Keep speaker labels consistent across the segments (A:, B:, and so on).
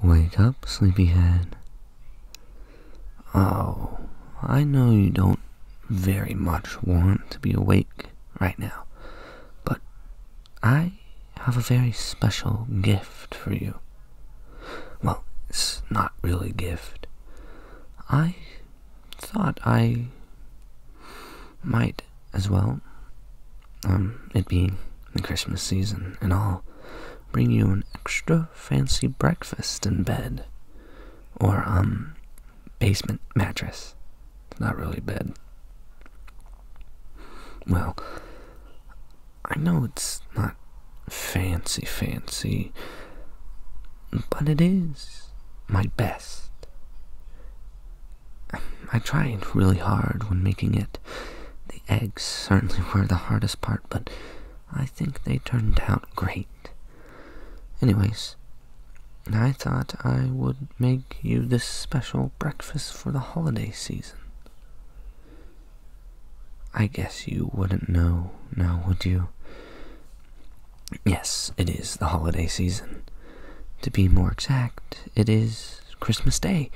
A: Wake up, sleepyhead. Oh, I know you don't very much want to be awake right now, but I have a very special gift for you. Well, it's not really a gift. I thought I might as well, um, it be the Christmas season, and I'll bring you an extra fancy breakfast in bed. Or, um, basement mattress. not really bed. Well, I know it's not fancy, fancy, but it is my best. I tried really hard when making it eggs certainly were the hardest part, but I think they turned out great. Anyways, I thought I would make you this special breakfast for the holiday season. I guess you wouldn't know now, would you? Yes, it is the holiday season. To be more exact, it is Christmas Day.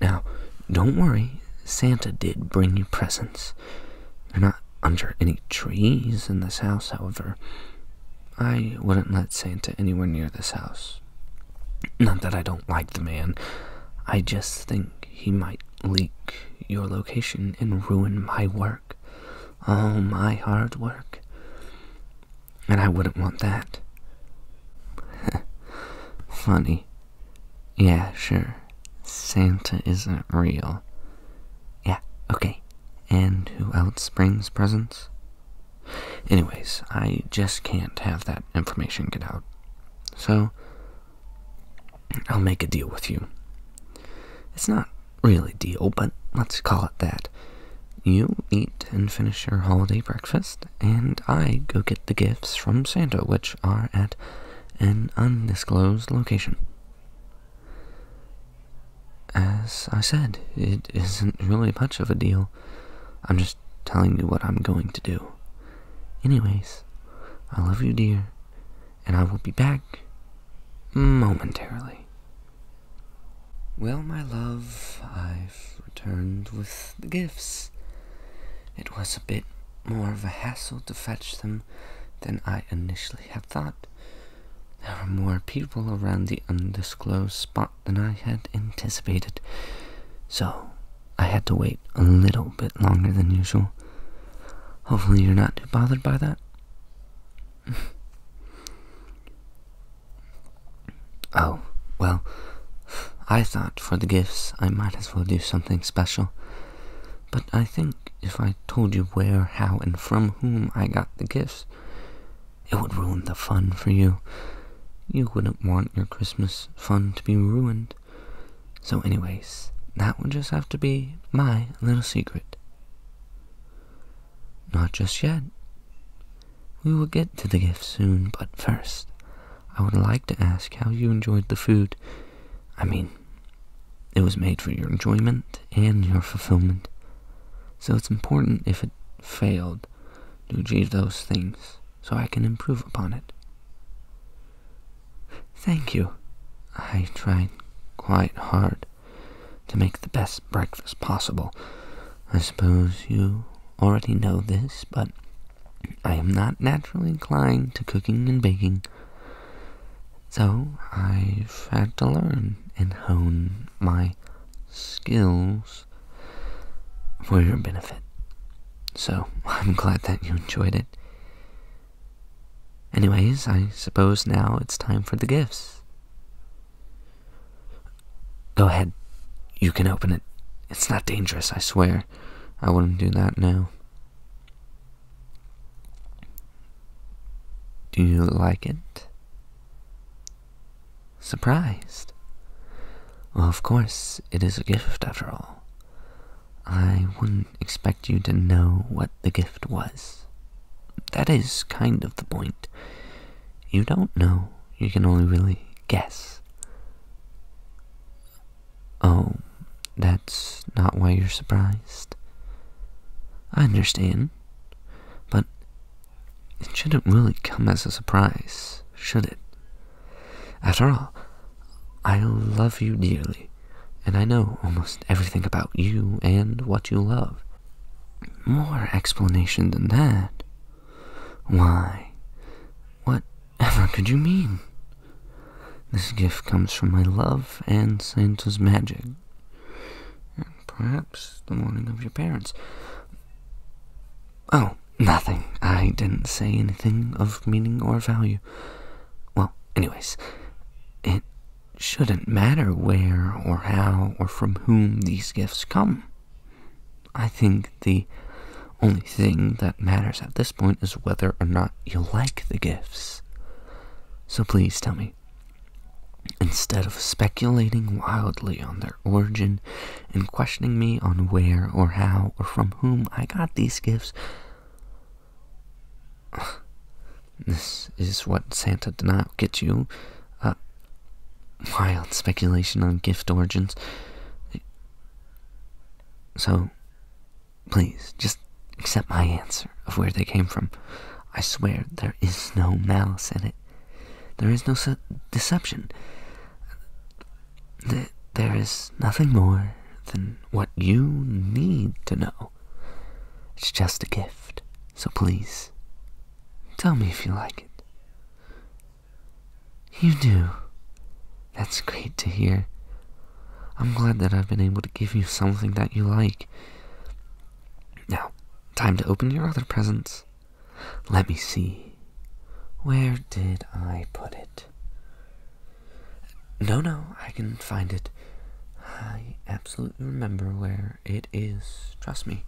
A: Now, don't worry, Santa did bring you presents. You're not under any trees in this house, however. I wouldn't let Santa anywhere near this house. Not that I don't like the man, I just think he might leak your location and ruin my work. All oh, my hard work. And I wouldn't want that. Funny. Yeah, sure. Santa isn't real. Yeah, okay. And who else brings presents? Anyways, I just can't have that information get out. So, I'll make a deal with you. It's not really a deal, but let's call it that. You eat and finish your holiday breakfast, and I go get the gifts from Santa, which are at an undisclosed location. As I said, it isn't really much of a deal. I'm just telling you what I'm going to do. Anyways, I love you, dear, and I will be back momentarily. Well, my love, I've returned with the gifts it was a bit more of a hassle to fetch them than I initially had thought. There were more people around the undisclosed spot than I had anticipated, so I had to wait a little bit longer than usual. Hopefully, you're not too bothered by that. Oh, well, I thought for the gifts I might as well do something special. But I think if I told you where, how, and from whom I got the gifts, it would ruin the fun for you. You wouldn't want your Christmas fun to be ruined. So, anyways, that would just have to be my little secret. Not just yet. We will get to the gift soon, but first, I would like to ask how you enjoyed the food. I mean, it was made for your enjoyment and your fulfillment. So it's important if it failed to achieve those things so I can improve upon it. Thank you. I tried quite hard to make the best breakfast possible, I suppose you already know this, but I am not naturally inclined to cooking and baking. So I've had to learn and hone my skills for your benefit. So I'm glad that you enjoyed it. Anyways, I suppose now it's time for the gifts. Go ahead. You can open it. It's not dangerous, I swear. I wouldn't do that now. Do you like it? Surprised? of course, it is a gift after all. I wouldn't expect you to know what the gift was. That is kind of the point you don't know. You can only really guess. Oh, that's not why you're surprised. I understand. But it shouldn't really come as a surprise, should it? After all, I love you dearly, and I know almost everything about you and what you love. More explanation than that why, whatever could you mean? This gift comes from my love and Santa's magic. And perhaps the warning of your parents. Oh, nothing. I didn't say anything of meaning or value. Well, anyways, it shouldn't matter where or how or from whom these gifts come. I think the only thing that matters at this point is whether or not you like the gifts. So please tell me. Instead of speculating wildly on their origin and questioning me on where or how or from whom I got these gifts, this is what Santa did not get you. Uh, wild speculation on gift origins. So, please, just accept my answer of where they came from. I swear there is no malice in it. There is no deception. there is nothing more than what you need to know. It's just a gift. So please, tell me if you like it. You do. That's great to hear. I'm glad that I've been able to give you something that you like. Now, time to open your other presents. Let me see. Where did I put it? No, no, I can find it. I absolutely remember where it is. Trust me.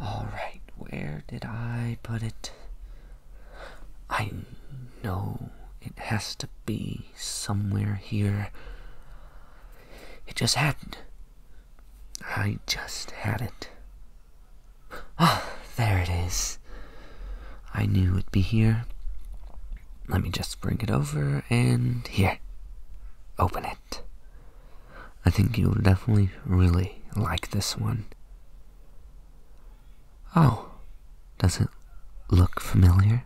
A: Alright, where did I put it? I know it has to be somewhere here. It just happened. I just had it. Ah, there it is. I knew it'd be here. Let me just bring it over and here. Open it. I think you'll definitely really like this one. Oh, does it look familiar?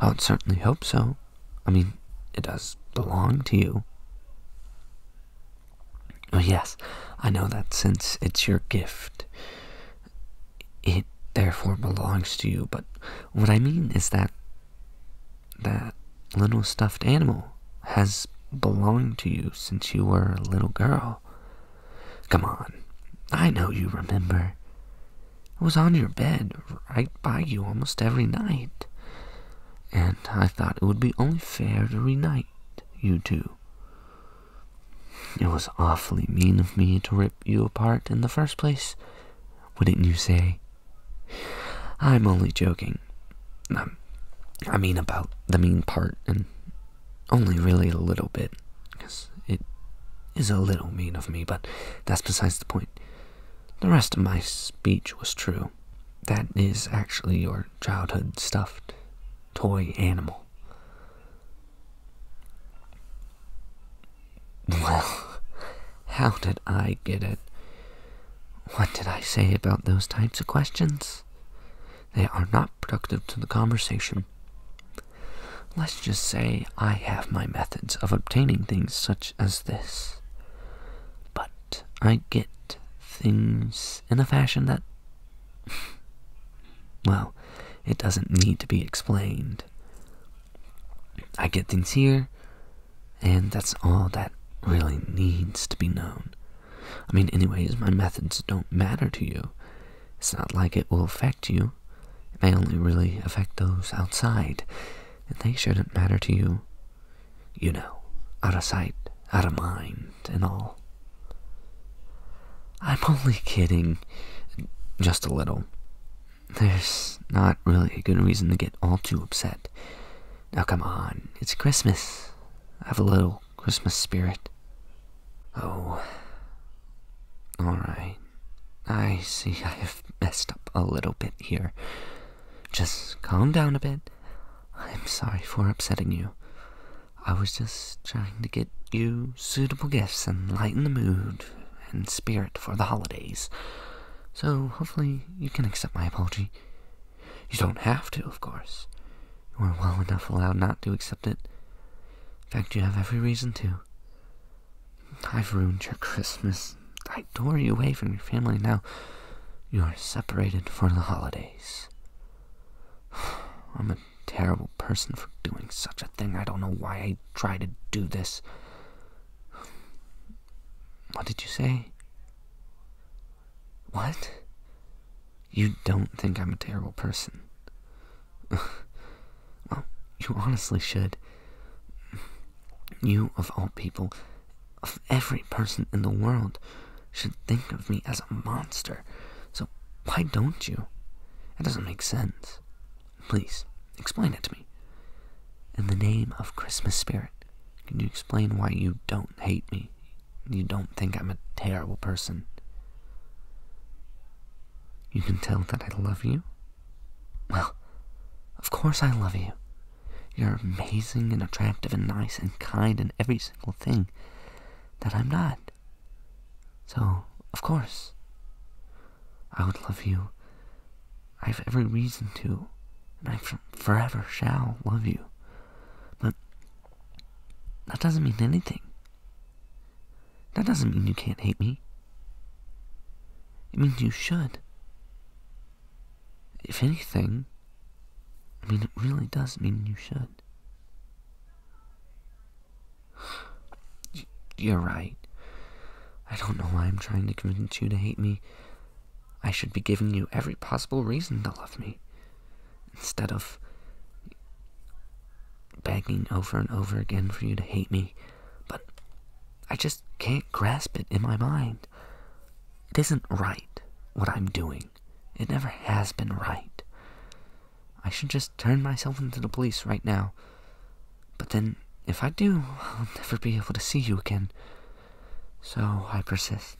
A: I would certainly hope so. I mean, it does belong to you. Oh, yes, I know that since it's your gift, it therefore belongs to you, but what I mean is that that little stuffed animal has belonged to you since you were a little girl. Come on, I know you remember. It was on your bed, right by you, almost every night. And I thought it would be only fair to reunite you two. It was awfully mean of me to rip you apart in the first place, wouldn't you say? I'm only joking. Um, I mean about the mean part, and only really a little bit, because it is a little mean of me, but that's besides the point. The rest of my speech was true. That is actually your childhood stuffed toy animal. Well, how did I get it? What did I say about those types of questions? They are not productive to the conversation. Let's just say I have my methods of obtaining things such as this, but I get things in a fashion that, well, it doesn't need to be explained. I get things here, and that's all that really needs to be known. I mean, anyways, my methods don't matter to you. It's not like it will affect you. It may only really affect those outside, and they shouldn't matter to you. You know, out of sight, out of mind, and all. I'm only kidding. Just a little. There's not really a good reason to get all too upset. Now, come on, it's Christmas. Have a little Christmas spirit. Oh. Alright. I see I have messed up a little bit here. Just calm down a bit. I'm sorry for upsetting you. I was just trying to get you suitable gifts and lighten the mood and spirit for the holidays so hopefully you can accept my apology. You don't have to, of course. You are well enough allowed not to accept it. In fact, you have every reason to. I've ruined your Christmas. I tore you away from your family. Now you are separated for the holidays. I'm a terrible person for doing such a thing. I don't know why I try to do this. What did you say? What? You don't think I'm a terrible person. well, you honestly should. You, of all people, of every person in the world, should think of me as a monster. So why don't you? It doesn't make sense. Please, Explain it to me. In the name of Christmas spirit, can you explain why you don't hate me? You don't think I'm a terrible person? You can tell that I love you? Well, of course I love you. You're amazing and attractive and nice and kind in every single thing that I'm not. So, of course. I would love you. I have every reason to, and I forever shall love you. But that doesn't mean anything. That doesn't mean you can't hate me. It means you should. If anything, I mean, it really does mean you should. You're right. I don't know why I'm trying to convince you to hate me. I should be giving you every possible reason to love me. Instead of begging over and over again for you to hate me, but I just can't grasp it in my mind. It isn't right what I'm doing, it never has been right. I should just turn myself into the police right now. But then, if I do, I'll never be able to see you again. So I persist.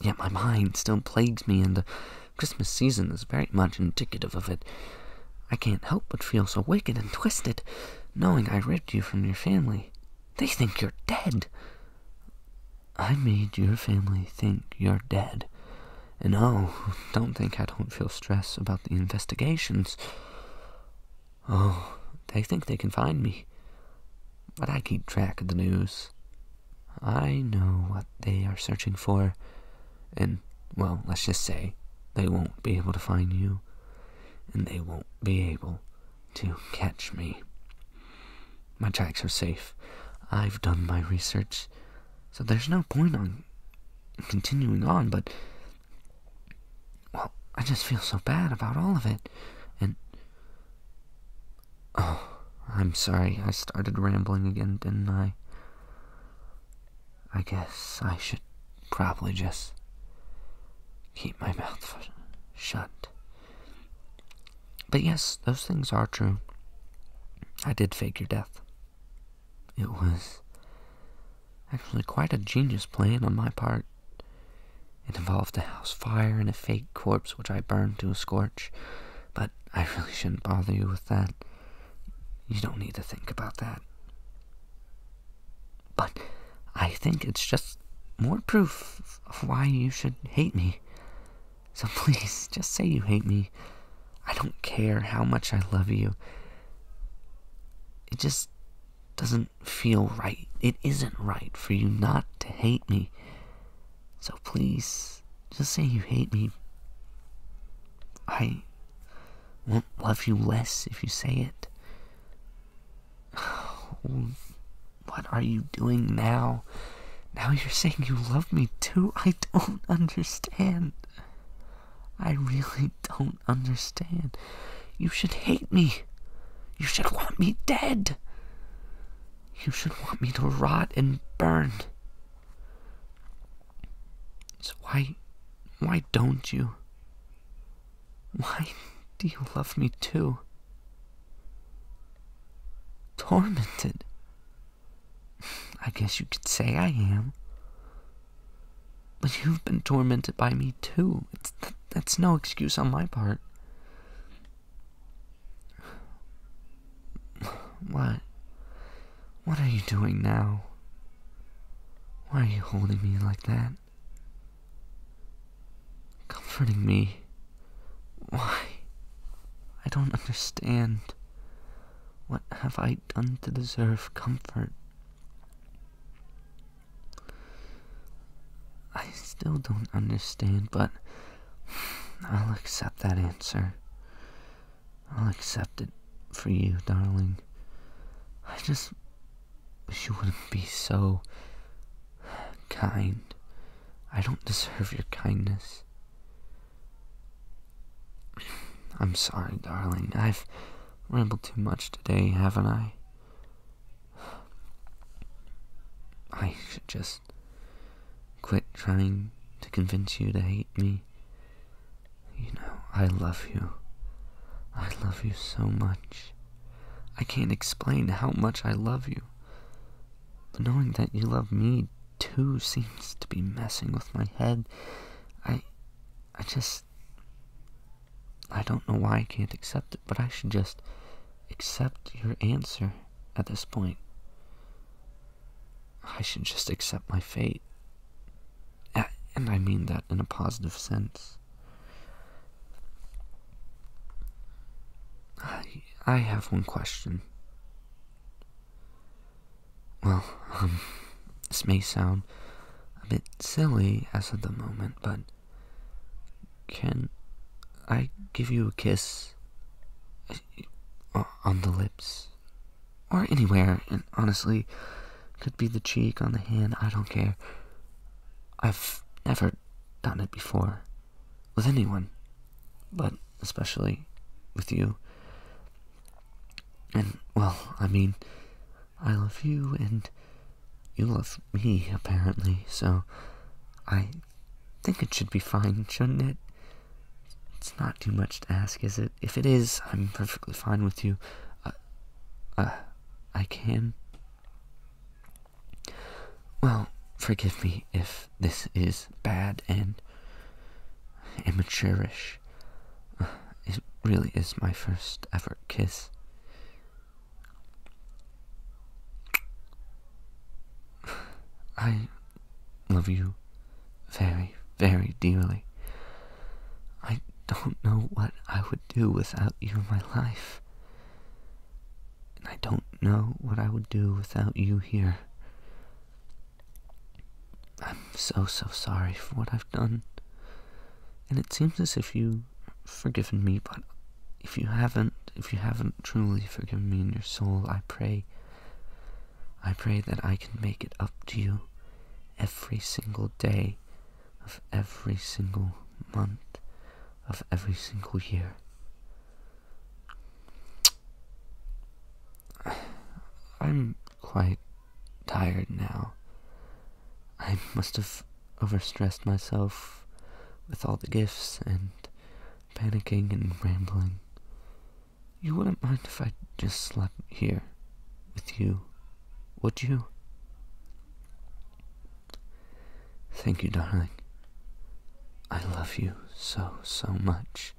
A: Yet my mind still plagues me, and the Christmas season is very much indicative of it. I can't help but feel so wicked and twisted, knowing I ripped you from your family. They think you're dead. I made your family think you're dead. And oh, don't think I don't feel stress about the investigations. Oh, they think they can find me. But I keep track of the news. I know what they are searching for, and, well, let's just say, they won't be able to find you, and they won't be able to catch me. My tracks are safe. I've done my research, so there's no point on continuing on, but well, I just feel so bad about all of it. And. Oh, I'm sorry. I started rambling again, didn't I? I guess I should probably just keep my mouth shut. But yes, those things are true. I did fake your death. It was actually quite a genius plan on my part. It involved a house fire and a fake corpse which I burned to a scorch, but I really shouldn't bother you with that. You don't need to think about that. But I think it's just more proof of why you should hate me. So please, just say you hate me. I don't care how much I love you. It just doesn't feel right. It isn't right for you not to hate me. So please, just say you hate me. I won't love you less if you say it. what are you doing now? Now you're saying you love me too? I don't understand. I really don't understand. You should hate me. You should want me dead. You should want me to rot and burn. So why why don't you? Why do you love me too? Tormented. I guess you could say I am. But you've been tormented by me too. It's that's no excuse on my part. What? What are you doing now? Why are you holding me like that? Comforting me. Why? I don't understand. What have I done to deserve comfort? I still don't understand, but I'll accept that answer. I'll accept it for you, darling. I just wish you wouldn't be so kind. I don't deserve your kindness. I'm sorry, darling. I've rambled too much today, haven't I? I should just quit trying to convince you to hate me. You know, I love you. I love you so much. I can't explain how much I love you. But knowing that you love me too seems to be messing with my head. I I just. I don't know why I can't accept it, but I should just accept your answer at this point. I should just accept my fate. And I mean that in a positive sense. I, I have one question. Well, um, this may sound a bit silly as of the moment, but can I give you a kiss uh, on the lips? Or anywhere, and honestly, could be the cheek, on the hand, I don't care. I've never done it before with anyone, but especially with you. And, well, I mean, I love you and you love me, apparently, so I think it should be fine, shouldn't it? It's not too much to ask, is it? If it is, I'm perfectly fine with you. Uh, uh I can. Well, forgive me if this is bad and immatureish. It really is my first ever kiss. I love you very, very dearly. I don't know what I would do without you in my life. And I don't know what I would do without you here. I'm so, so sorry for what I've done. And it seems as if you've forgiven me, but if you haven't, if you haven't truly forgiven me in your soul, I pray, I pray that I can make it up to you every single day of every single month of every single year. I'm quite tired now. I must have overstressed myself with all the gifts and panicking and rambling.
B: You wouldn't mind if I
A: just slept here with you, would you? Thank you, darling. I love you so, so much.